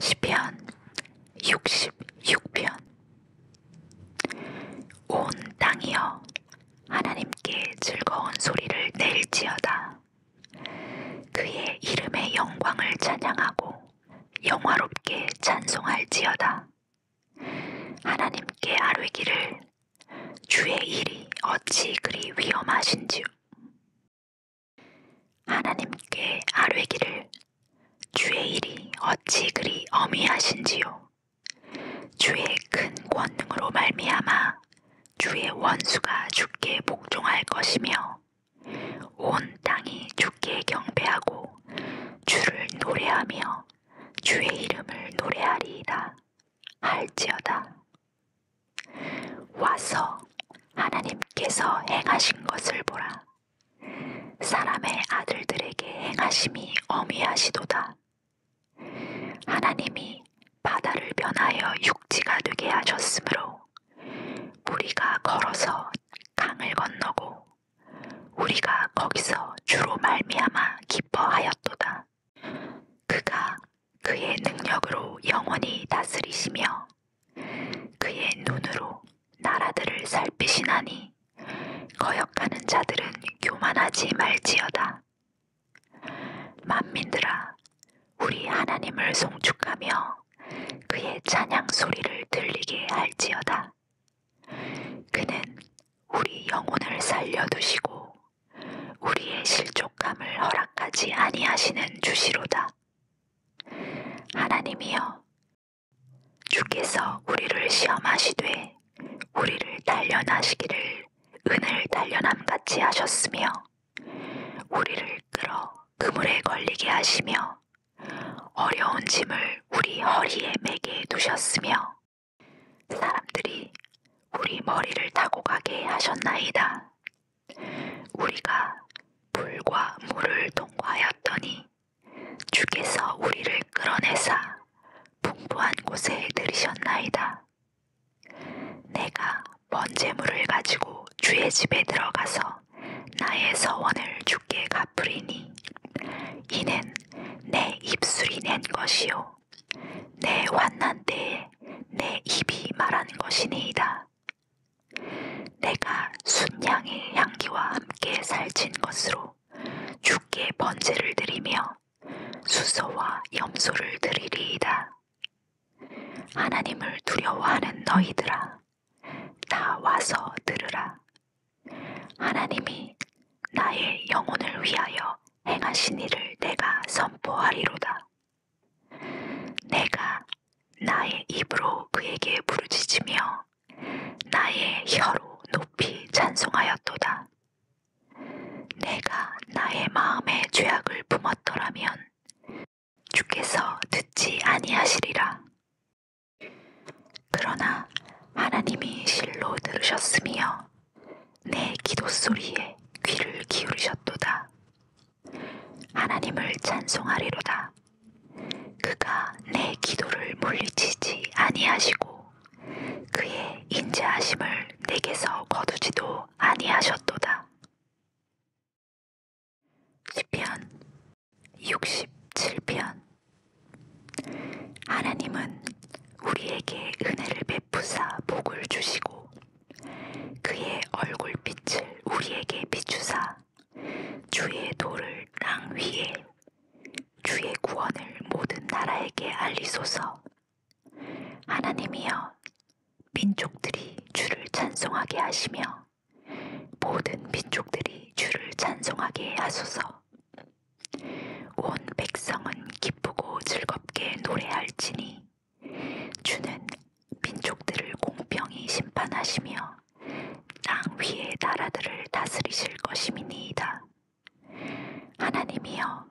시편 66편 온 땅이여 하나님께 즐거운 소리를 낼지어다 그의 이름의 영광을 찬양하고 영화롭게 찬송할지어다 하나님께 아뢰기를 주의 일이 어찌 그리 위험하신지요 하나님께 아뢰기를 주의 일이 어찌 그리 어미하신지요 주의 큰 권능으로 말미암아 주의 원수가 주께 복종할 것이며 온 땅이 주께 경배하고 주를 노래하며 주의 이름을 노래하리이다 할지어다 와서 하나님께서 행하신 것을 보라. 사람의 아들들에게 행하심이 어미하시도다. 하나님이 바다를 변하여 육지가 되게 하셨으므로 우리가 걸어서 강을 건너고 우리가 거기서 주로 말미암아 기뻐하였도다. 그가 그의 능력으로 영원히 다스리시며 그의 눈으로 나라들을 살피시나니 거역하는 자들은 교만하지 말지어다. 만민들아 우리 하나님을 송축하며 그의 찬양 소리를 들리게 할지어다. 그는 우리 영혼을 살려두시고 우리의 실족함을 허락하지 아니하시는 주시로다. 하나님이여, 주께서 우리를 시험하시되 우리를 단련하시기를 은을 단련함 같이 하셨으며 우리를 끌어 그물에 걸리게 하시며 어려운 짐을 우리 허리에 매게 두셨으며 사람들이 우리 머리를 타고 가게 하셨나이다. 우리가 불과 물을 통과하였더니 주께서 우리를 끌어내사 풍부한 곳에 들이셨나이다. 내가 번제물을 가지고 주의 집에 들어가서 나의 서원을 주께 갚으리니 이는 내 입술이 낸 것이요 내 환난 때에 내 입이 말한 것이니이다. 내가 순양의 향기와 함께 살찐 것으로 주께 번제를 드리며 수소와 염소를 드리리이다. 하나님을 두려워하는 너희들아, 다 와서 들으라. 하나님이 나의 영혼을 위하여 행하신 일을 내가 선포하리로다. 내가 나의 입으로 그에게 부르짖으며 나의 혀로 높이 찬송하였도다. 내가 나의 마음에 죄악을 품었더라면 주께서 듣지 아니하시리라. 그러나 하나님이 실로 들으셨으며 내 기도 소리에 귀를 기울이셨도다. 하나님을 찬송하리로다. 그가 내 기도를 물리치지 아니하시고 그의 인자하심을 내게서 거두지도 아니하셨도다. 시편 67편 하나님은 우리에게 은혜를 베푸사 복을 주시고 그의 얼굴빛을 우리에게 비추사 주의 도를 땅 위에 주의 구원을 모든 나라에게 알리소서. 하나님이여 민족들이 주를 찬송하게 하시며 모든 민족들이 주를 찬송하게 하소서. 온 백성은 기쁘고 즐겁게 노래할지니 주는 민족들을 공평히 심판하시며 땅 위의 나라들을 다스리실 것임이니이다. 하나님이여,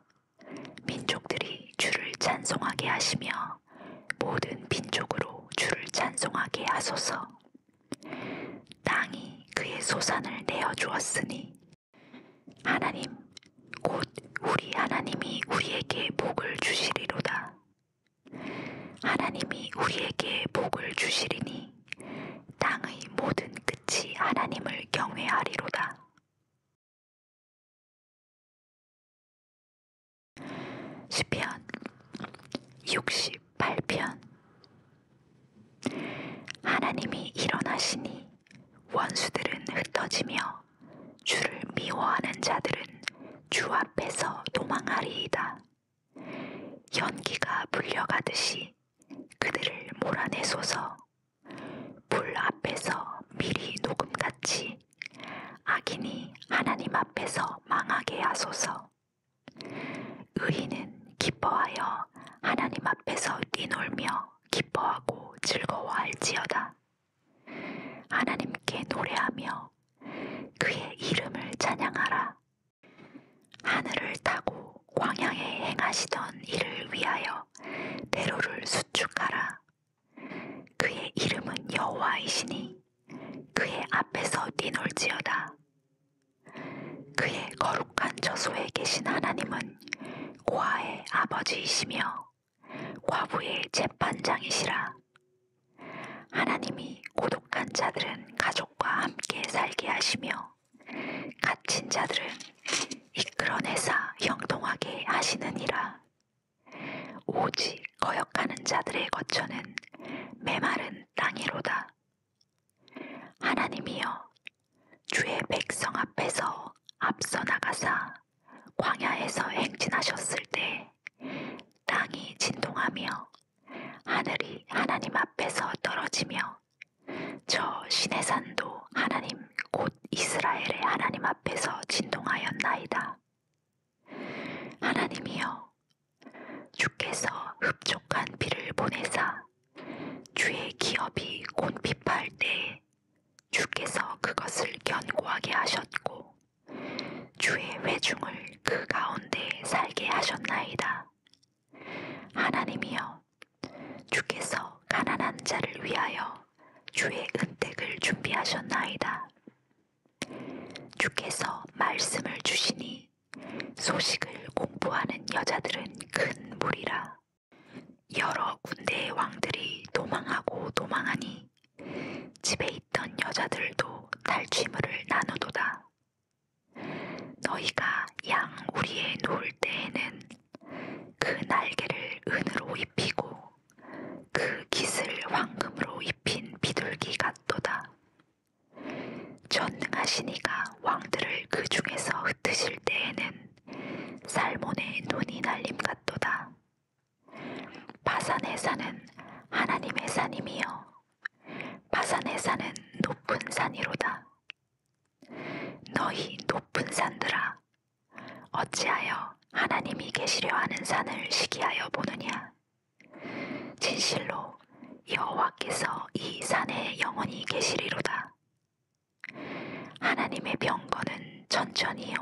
민족들이 주를 찬송하게 하시며 모든 민족으로 주를 찬송하게 하소서. 땅이 그의 소산을 내어 주었으니 하나님 곧 우리 하나님이 우리에게 복을 주시리로다. 하나님이 우리에게 복을 주시리니 땅의 모든 끝이 하나님을 경외하리로다. 시편 68편 하나님이 일어나시니 원수들은 흩어지며 주를 미워하는 자들은 주 앞에서 도망하리이다. 연기가 불려가듯이 그들을 몰아내소서. 불 앞에서 미리 녹음같이 악인이 하나님 앞에서 망하게 하소서. 의인은 기뻐하여 하나님 앞에서 뛰놀며 기뻐하고 즐거워할지어다. 하나님께 노래하며 그의 이름을 찬양하라. 하늘을 타고 광양에 행하시던 이를 위하여 대로를 수축하라. 그의 이름은 여호와이시니 그의 앞에서 뛰놀지어다. 그의 거룩한 저소에 계신 하나님은 고아의 아버지이시며 과부의 재판장이시라. 하나님이 고독한 자들은 가족과 함께 살게 하시며 갇힌 자들은 이끌어내사 형통하게 하시느니라. 오직 거역하는 자들의 거처는 메마른 땅이로다. 하나님이여 주의 백성 앞에서 앞서 나가사 광야에서 행진하셨을 때 땅이 진동하며 하늘이 하나님 앞에서 떨어지며 저 시내산도 하나님 곧 이스라엘의 하나님 앞에서 진동하였나이다. 하나님이여 주께서 흡족한 비를 보내사 주의 기업이 곤핍할 때에 주께서 그것을 견고하게 하셨고 주의 회중을 그 가운데 살게 하셨나이다. 하나님이여, 주께서 가난한 자를 위하여 주의 은택을 준비하셨나이다. 주께서 말씀을 주시니 소식을 공부하는 여자들은 큰 무리라. 여러 군대의 왕들이 도망하고 도망하니 집에 있던 여자들도 탈취물을 나누도다. 너희가 양 우리에 놓을 때에는 그 날개를 은으로 입히고 그 깃을 황금으로 입힌 비둘기 같도다. 전능하시니가 왕들을 그 중에서 흩으실 때에는 살몬의 눈이 날림 같도다. 바산에 사는 하나님의 산임이여 바산에 사는 높은 산이로다 너희 높은 산들아 어찌하여 하나님이 계시려 하는 산을 시기하여 보느냐 진실로 여호와께서 이 산에 영원히 계시리로다 하나님의 병거는 천천히요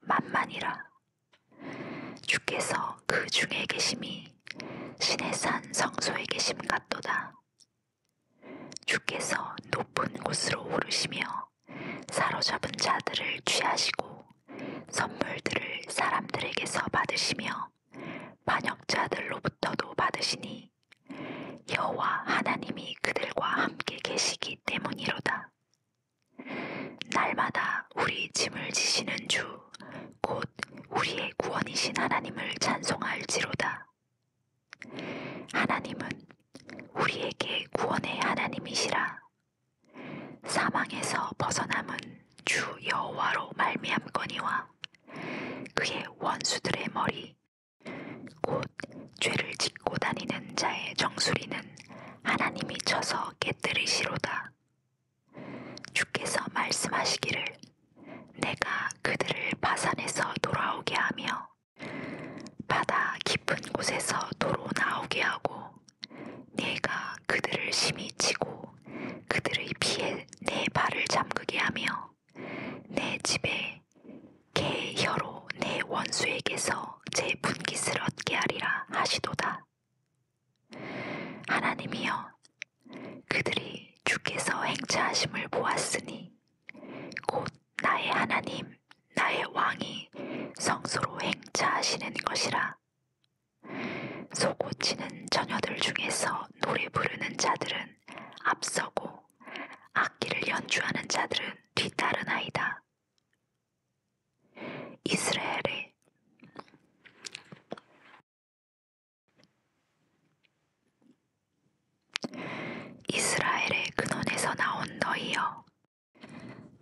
만만이라 주께서 그 중에 계심이 신의 산 성소에 계심 같도다. 주께서 높은 곳으로 오르시며 사로잡은 자들을 취하시고 선물들을 사람들에게서 받으시며 반역자들로부터도 받으시니 여호와 하나님이 그들과 함께 계시기 때문이로다. 날마다 우리 짐을 지시는 주, 곧 우리의 구원이신 하나님을 찬송할지로다. 하나님은 우리에게 구원의 하나님이시라. 사망에서 벗어남은 주 여호와로 말미암거니와 그의 원수들의 머리 곧 죄를 짓고 다니는 자의 정수리는 하나님이 쳐서 깨뜨리시로다. 주께서 말씀하시기를 내가 그들을 바산에서 돌아오게 하며 바다 깊은 곳에서 도로 나오게 하고 내가 그들을 심히 치고 그들의 피에 내 발을 잠그게 하며 내 집에 개의 혀로 내 원수에게서 제 분깃을 얻게 하리라 하시도다. 하나님이여, 그들이 주께서 행차하심을 보았으니 곧 나의 하나님, 나의 왕이 성소로 행차하시는 것이라. 소고치는 처녀들 중에서 노래 부르는 자들은 앞서고 악기를 연주하는 자들은 뒤따르나이다. 이스라엘의 이스라엘의 근원에서 나온 너희여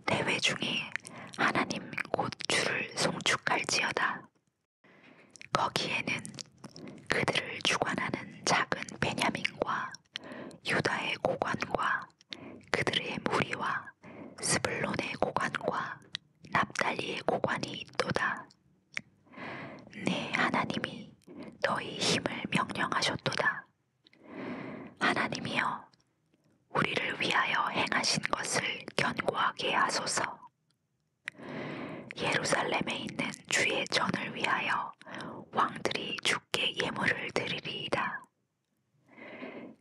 대회 중에 하나님 곧 주를 송축할지어다 거기에는 그들을 주관하는 작은 베냐민과 유다의 고관과 그들의 무리와 스불론의 고관과 납달리의 고관이 있도다. 네 하나님이 너희 힘을 명령하셨도다. 하나님이여 우리를 위하여 행하신 것을 견고하게 하소서. 예루살렘에 있는 주의 전을 위하여 왕들이 주께 예물을 드리리이다.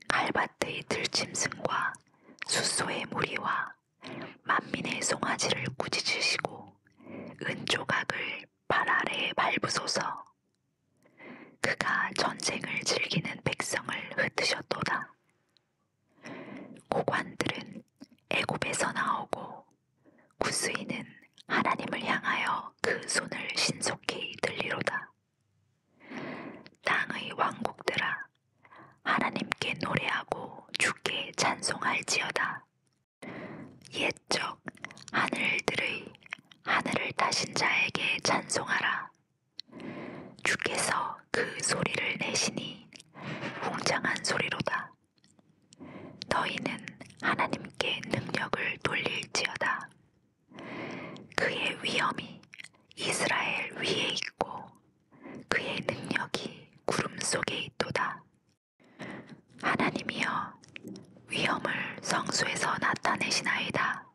갈밭의 들짐승과 숫소의 무리와 만민의 송아지를 꾸짖으시고 은조각을 발 아래에 밟으소서 그가 전쟁을 즐기는 백성을 흩으셨도다. 고관들은 애굽에서 나오고 구스인은 하나님을 향하여 그 손을 신속히 들리로다. 땅의 왕국들아 하나님께 노래하고 주께 찬송할지어다. 옛적 하늘들의 하늘을 다신 자에게 찬송하라. 주께서 그 소리를 내시니 웅장한 소리로다. 너희는 하나님께 능력을 돌릴지어다. 그의 위엄이 이스라엘 위에 있고 그의 능력이 구름 속에 있도다. 하나님이여 위험을 성수에서 나타내시나이다.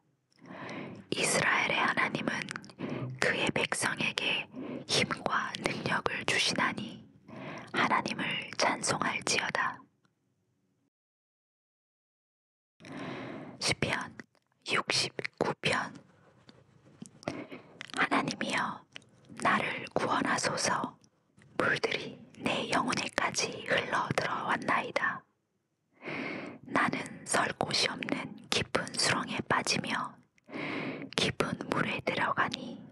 이스라엘의 하나님은 그의 백성에게 힘과 능력을 주시나니 하나님을 찬송할지어다. 시편 69편 하나님이여 나를 구원하소서 물들이 내 영혼에까지 흘러 들어왔나이다. 나는 설 곳이 없는 깊은 수렁에 빠지며 깊은 물에 들어가니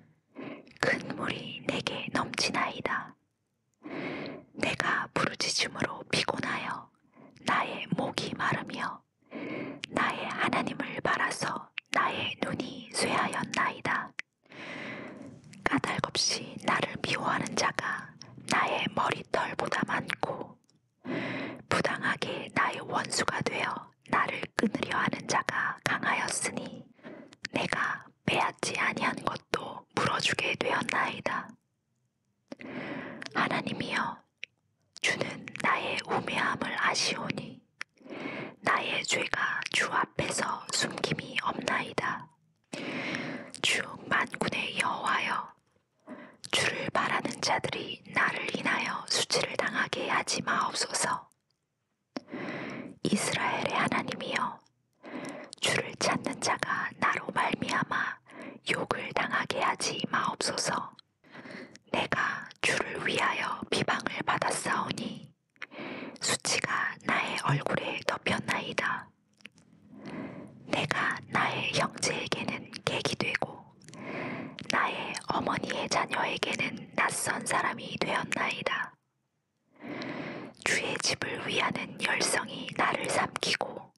큰 물이 내게 넘치나이다. 내가 부르짖음으로 피곤하여 나의 목이 마르며 나의 하나님을 바라서 나의 눈이 쇠하였나이다. 까닭없이 나를 미워하는 자가 나의 머리털보다 많고 부당하게 나의 원수가 되어 나를 끊으려 하는 자가 강하였으니 내가 빼앗지 아니한 것도 물어주게 되었나이다. 하나님이여, 주는 나의 우매함을 아시오니 나의 죄가 주 앞에서 숨김이 없나이다. 주 만군의 여호와여, 주를 바라는 자들이 나를 인하여 수치를 당하게 하지 마옵소서. 이스라엘의 하나님이여, 주를 찾는 자가 나로 말미암아 욕을 당하게 하지 마옵소서. 내가 주를 위하여 비방을 받았사오니 수치가 나의 얼굴에 덮였나이다. 내가 나의 형제에게는 객이 되고 나의 어머니의 자녀에게는 낯선 사람이 되었나이다. 주의 집을 위하는 열성이 나를 삼키고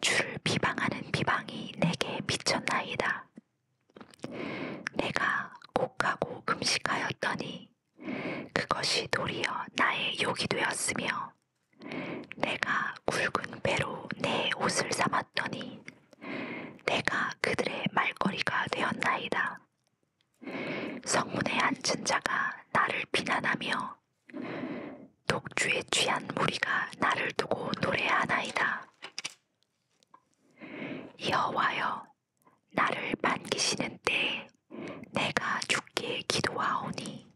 주를 비방하는 비방이 내게 미쳤나이다. 말하니라. 내가 곡하고 금식하였더니 그것이 도리어 나의 욕이 되었으며 내가 굵은 배로 내 옷을 삼았더니 내가 그들의 말거리가 되었나이다. 성문에 앉은 자가 나를 비난하며 독주에 취한 무리가 나를 두고 노래하나이다. 여호와여 나를 반기시는 때에 내가 주께 기도하오니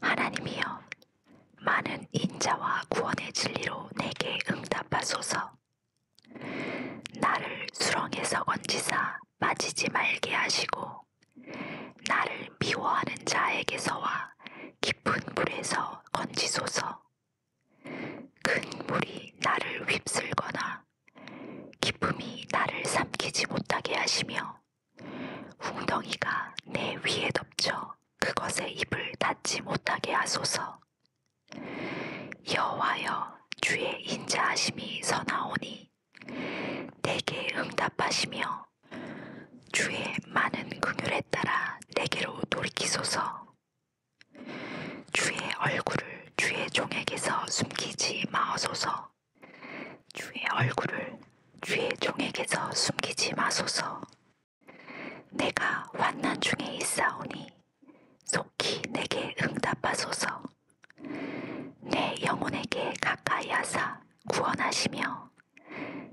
하나님이여 많은 인자와 구원의 진리로 내게 응답하소서 나를 수렁에서 건지사 빠지지 말게 하시고 나를 미워하는 자에게서와 깊은 물에서 건지소서 큰 물이 나를 휩쓸거나 기쁨이 나를 삼키지 못하게 하시며 웅덩이가 내 위에 덮쳐 그것의 입을 닫지 못하게 하소서. 여호와여 주의 인자하심이 선하오니 내게 응답하시며 주의 많은 긍휼에 따라 내게로 돌이키소서. 주의 얼굴을 주의 종에게서 숨기지 마소서. 주의 얼굴을 주의 종에게서 숨기지 마소서. 내가 환난 중에 있사오니 속히 내게 응답하소서. 내 영혼에게 가까이 하사 구원하시며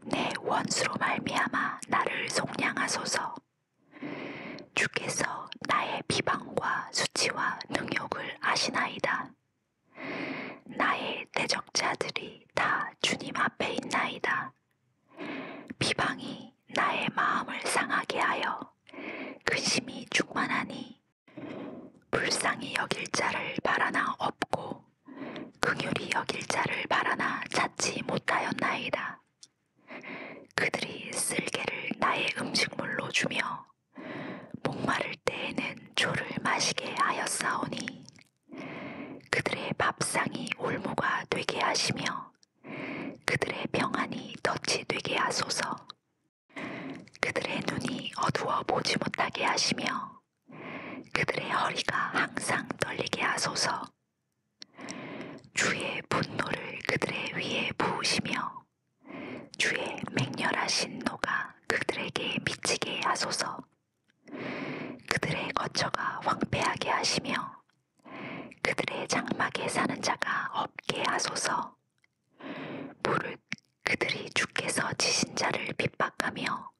내 원수로 말미암아 나를 속량하소서. 주께서 나의 비방과 수치와 능욕을 아시나이다. 나의 대적자들이 다 주님 앞에 있나이다. 비방이 나의 마음을 상하게 하여 근심이 충만하니 불쌍히 여길 자를 바라나 없고 긍휼히 여길 자를 바라나 찾지 못하였나이다. 그들이 쓸개를 나의 음식물로 주며 목마를 때에는 조를 마시게 하였사오니 그들의 밥상이 올무가 되게 하시며 그들의 평안이 덫이 되게 하소서 그들의 눈이 어두워 보지 못하게 하시며 그들의 허리가 항상 떨리게 하소서 주의 분노를 그들의 위에 부으시며 주의 맹렬하신 노가 그들에게 미치게 하소서. 그들의 거처가 황폐하게 하시며 그들의 장막에 사는 자가 없게 하소서. 무릇 그들이 주께서 지신 자를 핍박하며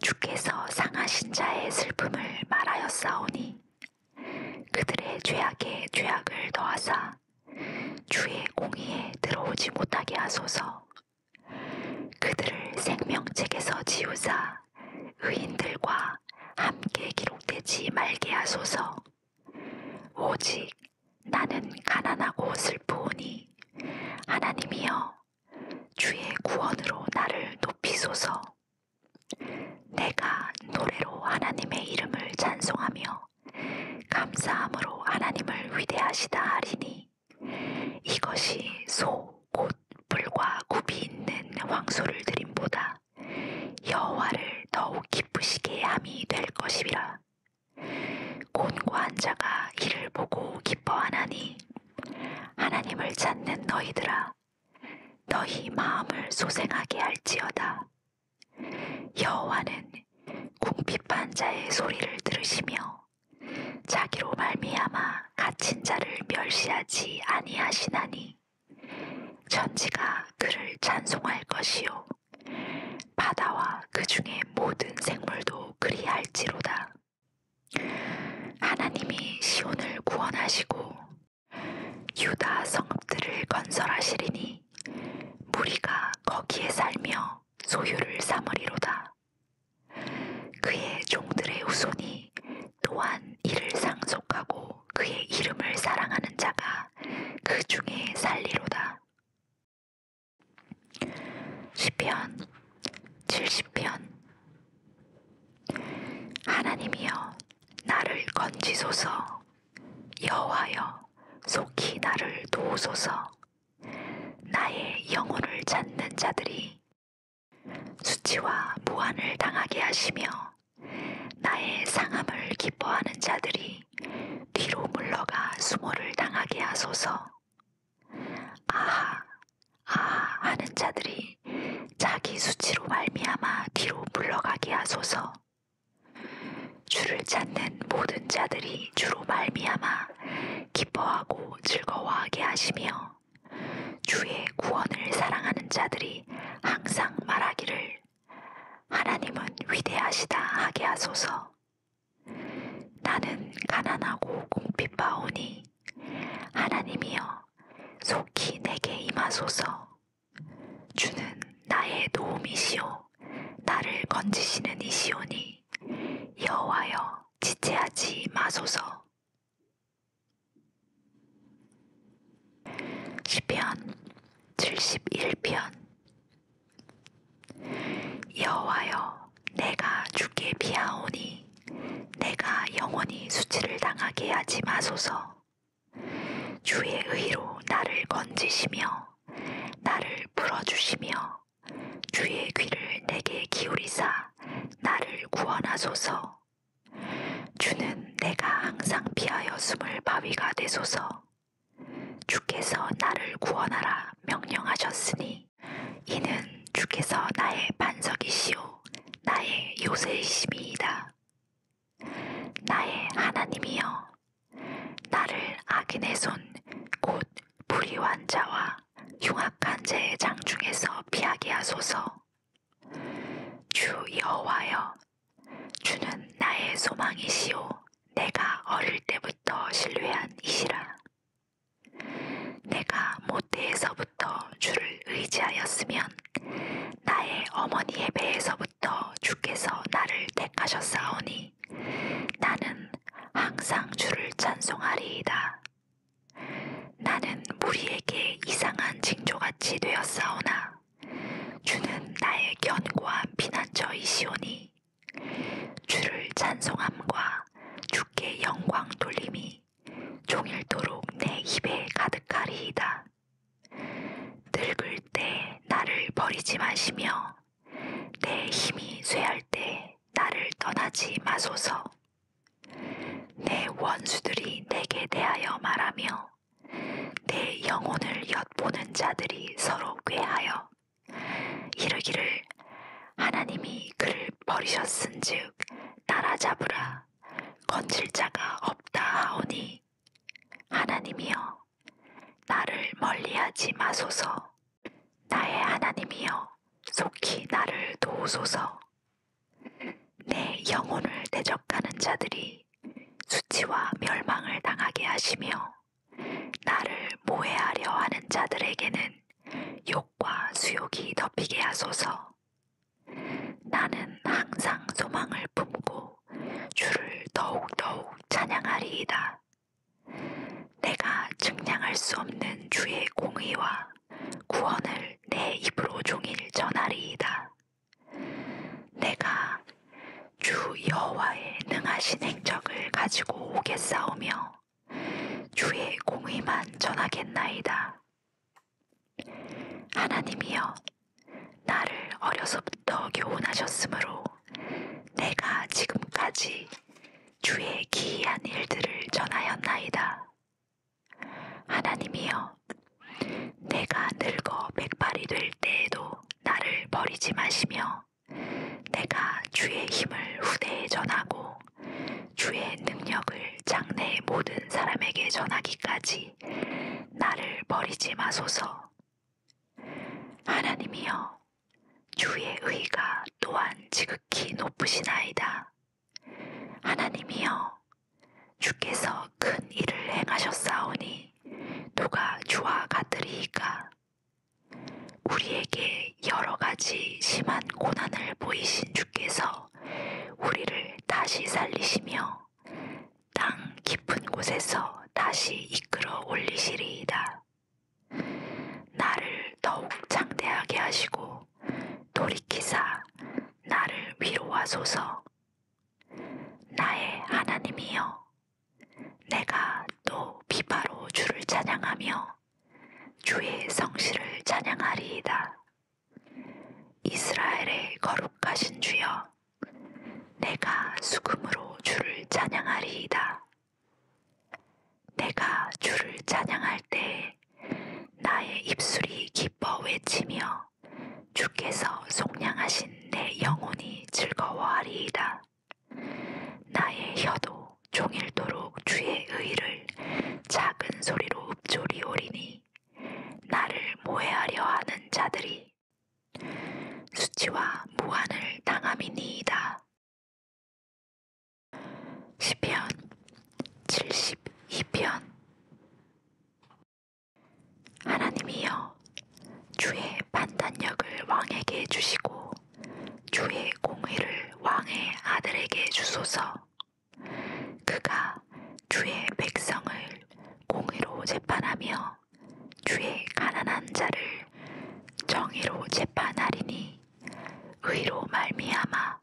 주께서 상하신 자의 슬픔을 말하였사오니 하시니 그들의 죄악에 죄악을 더하사 주의 공의에 들어오지 못하게 하소서 그들을 생명책에서 지우사 의인들과 함께 기록되지 말게 하소서 오직 나는 가난하고 슬프오니 하나님이여 주의 구원으로 나를 높이소서 내가 노래로 하나님의 이름을 찬송하며 감사함으로 하나님을 위대하시다 하리니 이것이 소 곧 불과 굽이 있는 황소를 드림보다 여호와를 더욱 기쁘시게 함이 될 것이라 곤고한 자가 이를 보고 기뻐하나니 하나님을 찾는 너희들아 너희 마음을 소생하게 할지어다. 여호와는 궁핍한 자의 소리를 들으시며 자기로 말미암아 갇힌 자를 멸시하지 아니하시나니 천지가 그를 찬송할 것이요 바다와 그 중의 모든 생물도 그리할지로다. 하나님이 시온을 구원하시고 유다 성읍들을 건설하시리니 무리가 거기에 살며 소유를 삼으리로다. 그의 종들의 후손이 또한 이를 상속하고 그의 이름을 사랑하는 자가 그 중에 살리로다. 시편 70편 하나님이여 나를 건지소서 여호와여 속히 나를 도우소서 나의 영혼을 찾는 자들이 수치와 무한을 당하게 하시며 나의 상함을 기뻐하는 자들이 뒤로 물러가 수모를 당하게 하소서 아하 아 하는 자들이 자기 수치로 말미암아 뒤로 물러가게 하소서. 주를 찾는 모든 자들이 주로 말미암아 기뻐하고 즐거워하게 하시며 주의 구원을 사랑하는 자들이 항상 말하기를 하나님은 위대하시다 하게 하소서. 나는 가난하고 공핍하오니 하나님이여 속히 내게 임하소서 주는 나의 도움이시오 나를 건지시는 이시오니 여호와여 지체하지 마소서 시편 71편 여호와여 내가 주께 비하오니 내가 영원히 수치를 당하게 하지 마소서 주의 의로 나를 건지시며 나를 풀어주시며 주의 귀를 내게 기울이사 나를 구원하소서 주는 내가 항상 피하여 숨을 바위가 되소서 주께서 나를 구원하라 명령하셨으니 이는 주께서 나의 반석이시오 나의 요새이심이이다 나의 하나님이여, 나를 악인의 손, 곧 불의한 자와 흉악한 자의 장중에서 피하게 하소서. 주 여호와여, 주는 나의 소망이시오, 내가 어릴 때부터 신뢰한 이시라. 내가 모태에서 배에서부터 주를 의지하였으면 나의 어머니의 배에서부터 주께서 나를 택하셨사오니 나는 항상 주를 찬송하리이다. 나는 무리에게 이상한 징조같이 되었사오나 주는 나의 견고한 피난처이시오니 주를 찬송함과 주께 영광 돌림이 종일토록 내 입에 가득하리이다. 늙을 때 나를 버리지 마시며 내 힘이 쇠할 때 나를 떠나지 마소서. 내 원수들이 내게 대하여 말하며 내 영혼을 엿보는 자들이 서로 꾀하여 이르기를 하나님이 그를 버리셨은즉 따라잡으라 건질 자가 없다 하오니 하나님이여 나를 멀리하지 마소서 나의 하나님이여 속히 나를 도우소서 내 영혼을 대적하는 자들이 수치와 멸망을 당하게 하시며 나를 모해하려 하는 자들에게는 욕과 수욕이 덮이게 하소서 나는 항상 소망을 품고 주를 더욱더욱 찬양하리이다. 내가 증량할 수 없는 주의 공의와 구원을 내 입으로 종일 전하리이다. 내가 주 여호와의 능하신 행적을 가지고 오겠사오며 주의 공의만 전하겠나이다. 하나님이여, 나를 어려서부터 교훈하셨으므로 내가 지금까지 주의 기이한 일들을 전하였나이다. 하나님이여, 내가 늙어 백발이 될 때에도 나를 버리지 마시며, 내가 주의 힘을 후대에 전하고, 주의 능력을 장래의 모든 사람에게 전하기까지 나를 버리지 마소서. 하나님이여, 주의 의가 또한 지극히 높으시나이다. 하나님이여, 주께서 큰 일을 행하셨사오니 누가 주와 같으리이까? 우리에게 여러 가지 심한 고난을 보이신 주께서 우리를 다시 살리시며 땅 깊은 곳에서 다시 이끌어 올리시리이다. 나를 더욱 창대하게 하시고 돌이키사 나를 위로하소서. 나의 하나님이여, 내가 또 비바로 주를 찬양하며 주의 성실을 찬양하리이다. 이스라엘의 거룩하신 주여, 내가 수금으로 주를 찬양하리이다. 내가 주를 찬양할 때에 나의 입술이 기뻐 외치며 주께서 속량하신 내 영혼이 즐거워하리이다. 나의 혀도 종일도록 주의 의를 작은 소리로 읊조리오리니 나를 모해하려 하는 자들이 수치와 무한을 당함이니이다. 시편 72편 하나님이여 주의 판단력을 왕에게 주시고 주의 공의를 왕의 아들에게 주소서 그가 주의 백성을 공의로 재판하며 주의 가난한 자를 정의로 재판하리니 의로 말미암아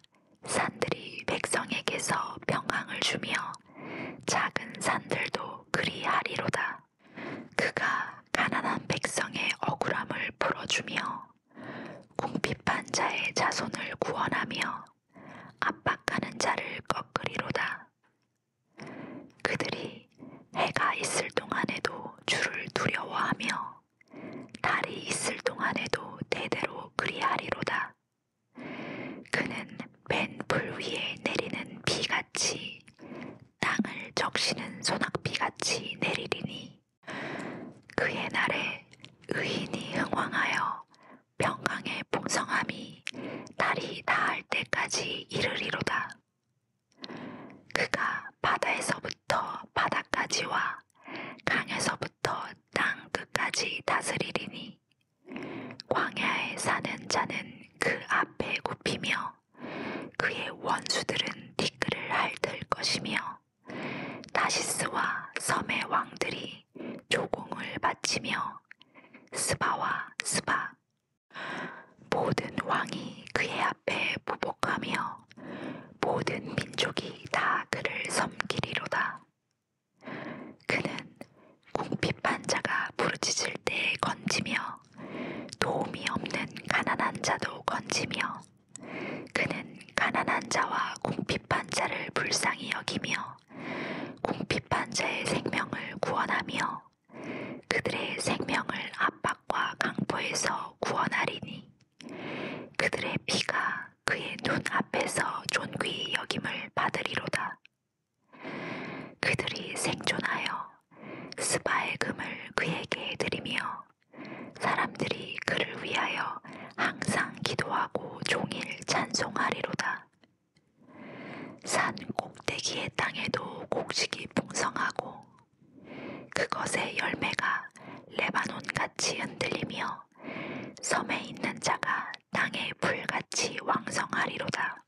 산들이 백성에게서 평강을 주며 작은 산들도 그리하리로다. 그가 가난한 백성의 억울함을 풀어주며 궁핍한 자의 자손을 구원하며 압박하는 자를 꺾으리로다. 그들이 해가 있을 동안에도 주를 두려워하며 달이 있을 동안에도 대대로 그리하리로다. 그는 맨 불 위에 내리는 비같이 땅을 적시는 소낙비같이 내리리니 그의 날에 의인이 흥왕하여 평강의 풍성함이 달이 닿을 때까지 이르리로다. 그가 바다에서부터 바다까지와 강에서부터 땅 끝까지 다스리리니 광야에 사는 자는 그 앞에 굽히며 그의 원수들은 티끌을 핥을 것이며 다시스와 섬의 왕들이 조공을 바치며 스바와 스바 모든 왕이 그의 앞에 보복하며 모든 민족이 다 그를 섬기리로다. 그는 궁핍한 자가 부르짖을 때 건지며 도움이 없는 가난한 자도 건지며 그는 가난한 자와 궁핍한 자를 불쌍히 여기며 궁핍한 자의 생명을 구원하며 그들의 생명을 압박과 강포에서 구원하리니 그들의 피가 그의 눈 앞에서 존귀히 여김을 받으리로다. 그들이 생존하여 스바의 금을 그에게 드리며 사람들이 그를 위하여 항상 기도하고 종일 찬송하리로다. 산 꼭대기의 땅에도 곡식이 풍성하고 그것의 열매가 레바논같이 흔들리며 섬에 있는 자가 땅의 풀같이 왕성하리로다.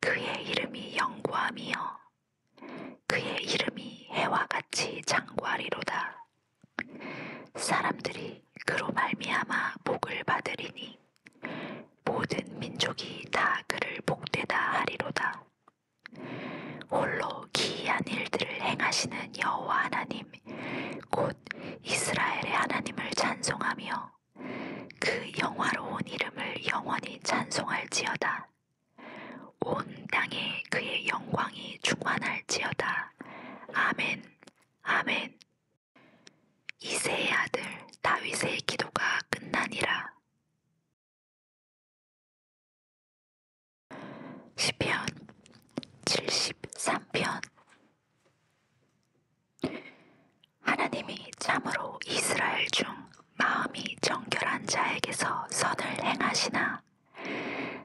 그의 이름이 영구함이여 그의 이름이 해와 같이 장구하리로다. 사람들이 그로 말미암아 복을 받으리니 모든 민족이 다 그를 복되다 하리로다. 홀로 기이한 일들을 행하시는 여호와 하나님, 곧 이스라엘의 하나님을 찬송하며 그 영화로운 이름을 영원히 찬송할지어다. 온 땅에 그의 영광이 충만할지어다. 아멘, 아멘, 이세의 아들 다윗의 기도가 끝나니라. 시편 73편 하나님이 참으로 이스라엘 중 마음이 정결한 자에게서 선을 행하시나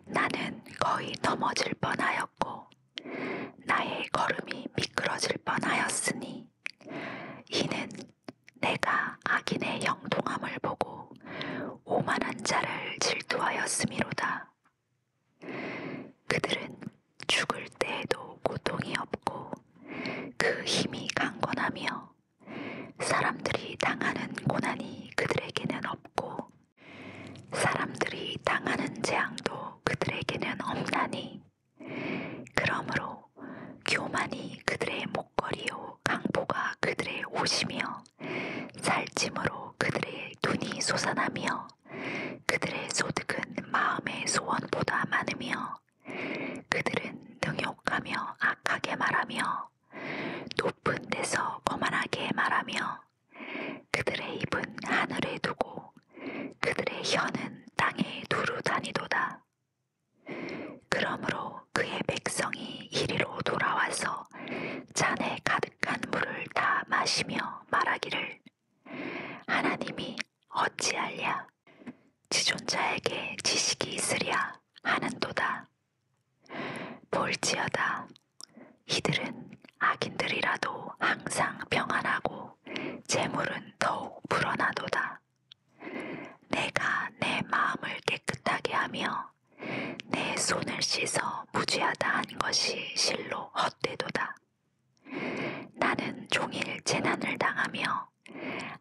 나는 거의 넘어질 뻔하였고 나의 걸음이 미끄러질 뻔하였으니 이는 내가 악인의 영통함을 보고 오만한 자를 질투하였음이로다. 그들은 죽을 때에도 고통이 없고 그 힘이 강건하며 사람들이 당하는 고난이 그들에게는 없고 사람들이 당하는 재앙도 그들에게는 없나니 그러므로 교만이 그들의 목걸이요 강포가 그들의 옷이며 살찜으로 그들의 눈이 솟아나며 그들의 소득은 마음의 소원보다 많으며 그들은 능욕하며 악하게 말하며 높은 데서 거만하게 말하며 그들의 입은 하늘에 두고 그들의 혀는 땅에 두루 다니도다. 그러므로 그의 백성이 이리로 돌아와서 잔에 가득한 물을 다 마시며 말하기를 하나님이 어찌할랴 지존자에게 지식이 있으랴 하는도다. 볼지어다 이들은 악인들이라도 항상 평안하고 재물은 더욱 불어나도다. 내가 내 마음을 깨끗하게 하며 내 손을 씻어 무지하다 한 것이 실로 헛되도다. 나는 종일 재난을 당하며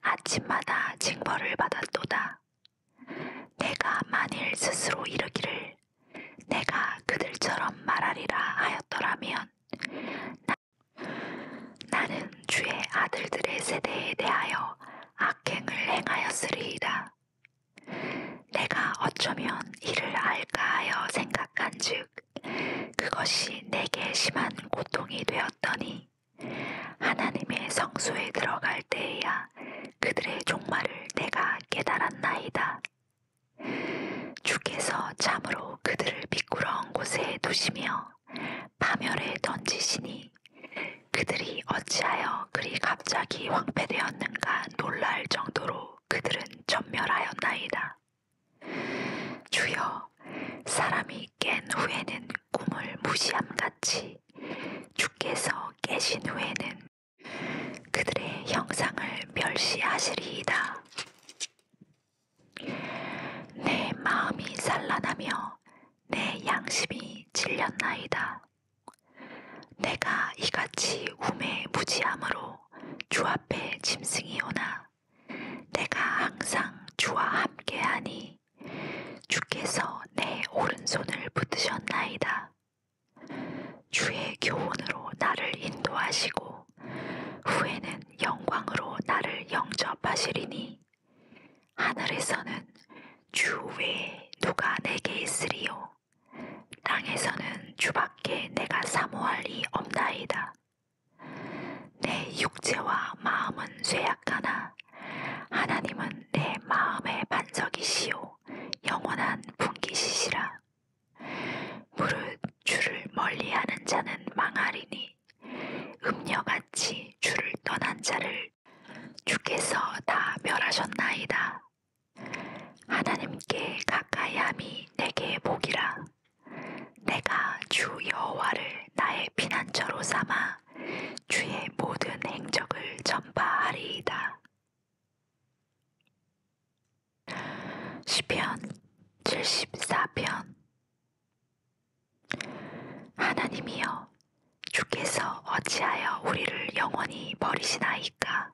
아침마다 징벌을 받았도다. 내가 만일 스스로 이르기를 내가 그들처럼 말하리라 하였더라면 있었다. 나는 주의 아들들의 세대에 대하여 악행을 행하였으리이다. 내가 어쩌면 이를 알까 하여 생각한즉 그것이 내게 심한 고통이 되었더니 하나님의 성소에 들어갈 때에야 그들의 종말을 내가 깨달았나이다. 주께서 참으로 그들을 미꾸러운 곳에 두시며 파멸에 던지시니 그들이 어찌하여 그리 갑자기 황폐되었는가 놀랄 정도로 그들은 전멸하였나이다. 주여 사람이 깬 후에는 꿈을 무시함같이 주께서 깨신 후에는 그들의 형상을 멸시하시리이다. 내 마음이 산란하며 내 양심이 질렸나이다. 내가 이같이 우매 무지함으로 주 앞에 짐승이 오나 내가 항상 주와 함께하니 주께서 내 오른손을 붙드셨나이다. 주의 교훈으로 나를 인도하시고 후에는 영광으로 나를 영접하시리니 하늘에서는 주 외에 누가 내게 있으리요 땅에서는 주밖에 내가 사모할 이 없나이다 내 육체와 마음은 쇠약하나 하나님은 내 마음의 반석이시요 영원한 분기시시라 무릇 주를 멀리하는 자는 망하리니 음녀같이 주를 떠난 자를 주께서 다 멸하셨나이다. 하나님께 가까이함이 내게 복이라. 내가 주 여호와를 나의 피난처로 삼아 주의 모든 행적을 전파하리이다. 시편 74편 하나님이여 주께서 어찌하여 우리를 영원히 버리시나이까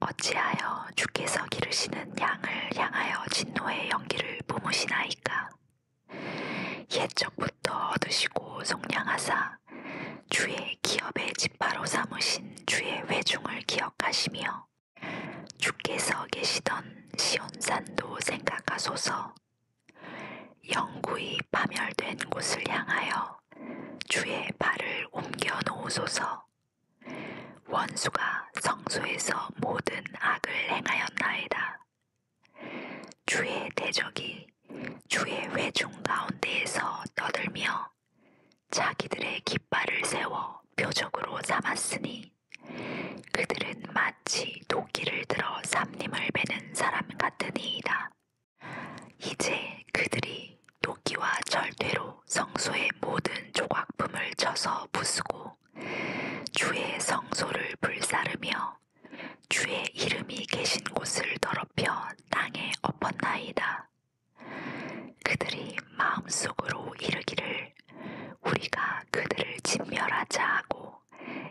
어찌하여 주께서 기르시는 양을 향하여 진노의 연기를 뿜으시나이까 옛적부터 얻으시고 속량하사 주의 기업의 집바로 삼으신 주의 외중을 기억하시며 주께서 계시던 시온산도 생각하소서 영구히 파멸된 곳을 향하여 주의 발을 옮겨 놓으소서 원수가 성소에서 모든 악을 행하였나이다. 주의 대적이 주의 회중 가운데에서 떠들며 자기들의 깃발을 세워 표적으로 삼았으니 그들은 마치 도끼를 들어 삼림을 베는 사람 같으니이다. 이제 그들이 도끼와 절대로 성소의 모든 조각품을 쳐서 부수고 주의 성소를 불사르며 주의 이름이 계신 곳을 더럽혀 땅에 엎었나이다. 그들이 마음속으로 이르기를 우리가 그들을 진멸하자 하고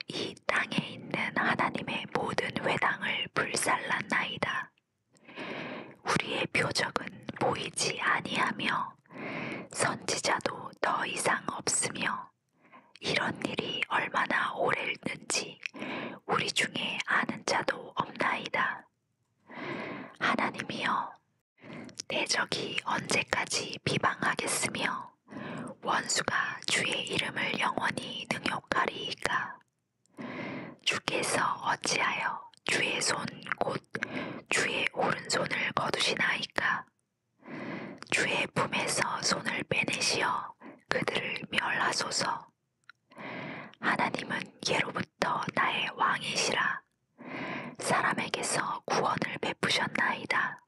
이 땅에 있는 하나님의 모든 회당을 불살랐나이다. 우리의 표적은 보이지 아니하며 선지자도 더 이상 없으며 이런 일이 얼마나 오래일는지 우리 중에 아는 자도 없나이다. 하나님이여 대적이 언제까지 비방하겠으며 원수가 주의 이름을 영원히 능욕하리이까 주께서 어찌하여 주의 손 곧 주의 오른손을 거두시나이까 주의 품에서 손을 빼내시어 그들을 멸하소서 하나님은 예로부터 나의 왕이시라 사람에게서 구원을 베푸셨나이다.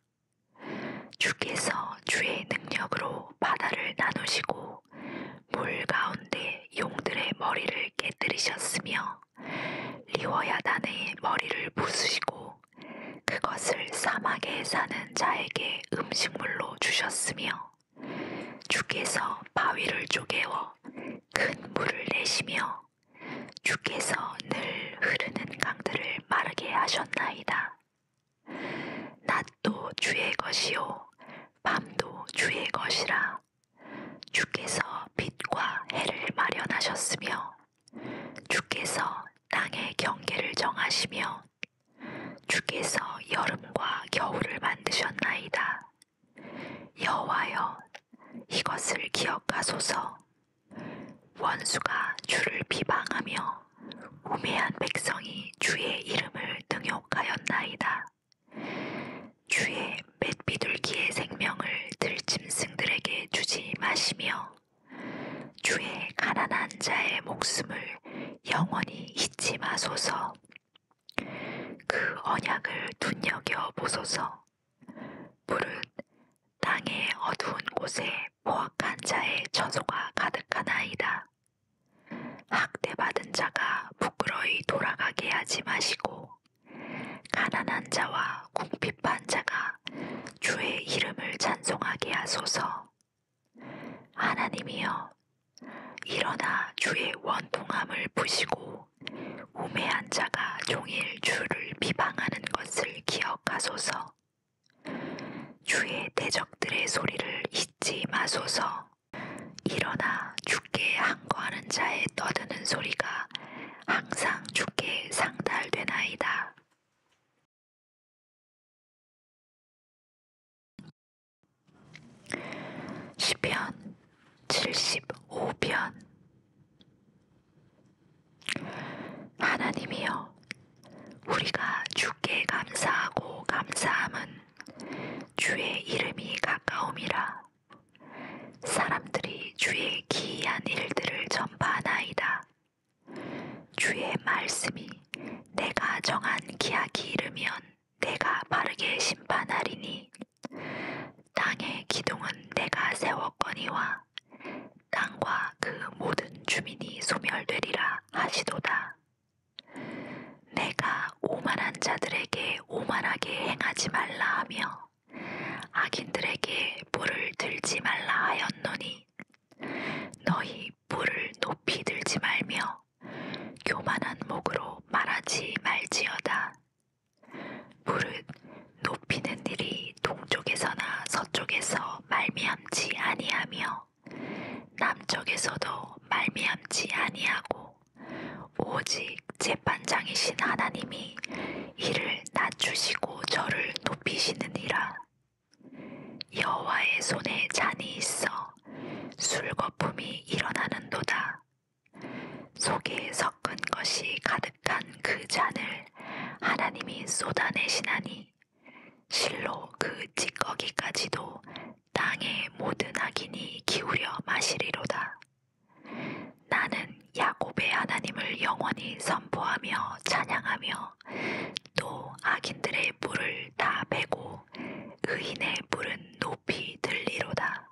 주께서 주의 능력으로 바다를 나누시고 물 가운데 용들의 머리를 깨뜨리셨으며 리워야단의 머리를 부수시고 그것을 사막에 사는 자에게 음식물로 주셨으며 주께서 바위를 쪼개어 큰 물을 내시며 주께서 늘 흐르는 강들을 마르게 하셨나이다. 낮도 주의 것이요 밤도 주의 것이라. 주께서 빛과 해를 마련하셨으며 주께서 땅의 경계를 정하시며 주께서 여름과 겨울을 만드셨나이다. 여호와여 이것을 기억하소서. 원수가 주를 비방하며 우매한 백성이 주의 이름을 능욕하였나이다. 주의 맷비둘기의 생명을 들짐승들에게 주지 마시며 주의 가난한 자의 목숨을 영원히 잊지 마소서. 그 언약을 눈여겨 보소서. 불은 땅의 어두운 곳에 포악한 자의 처소가 가득하나이다. 학대받은 자가 부끄러이 돌아가게 하지 마시고 가난한 자와 궁핍한 자가 주의 이름을 찬송하게 하소서. 하나님이여 일어나 주의 원통함을 부시고 우매한 자가 종일 주를 비방하는 것을 기억하소서. 주의 대적들의 소리를 잊지 마소서. 일어나 주께 항거하는 자의 떠드는 소리가 항상 주께 상달되나이다. 시편 75편 하나님이여, 우리가 주께 감사하고 감사함은 주의 이름이 가까움이라. 사람들이 주의 기이한 일들을 전파하나이다. 주의 말씀이 내가 정한 기약이 이르면 내가 바르게 심판하리니 땅의 기둥은 내가 세웠거니와 땅과 그 모든 주민이 소멸되리라 하시도다. 내가 오만한 자들에게 오만하게 행하지 말라 하며 악인들에게 불을 들지 말라 하였노니 너희 불을 높이 들지 말며 교만한 목으로 말하지 말지어다. 무릇 높이는 일이 동쪽에서나 서쪽에서 말미암지 아니하며 남쪽에서도 말미암지 아니하고 오직 재판장이신 하나님이 이를 낮추시고 저를 높이시느니라 여호와의 손에 잔이 있어 술거품이 일어나는도다 속에 섞은 것이 가득 택한 그 잔을 하나님이 쏟아내시나니 실로 그 찌꺼기까지도 땅의 모든 악인이 기울여 마시리로다. 나는 야곱의 하나님을 영원히 선포하며 찬양하며 또 악인들의 물을 다 베고 의인의 물은 높이 들리로다.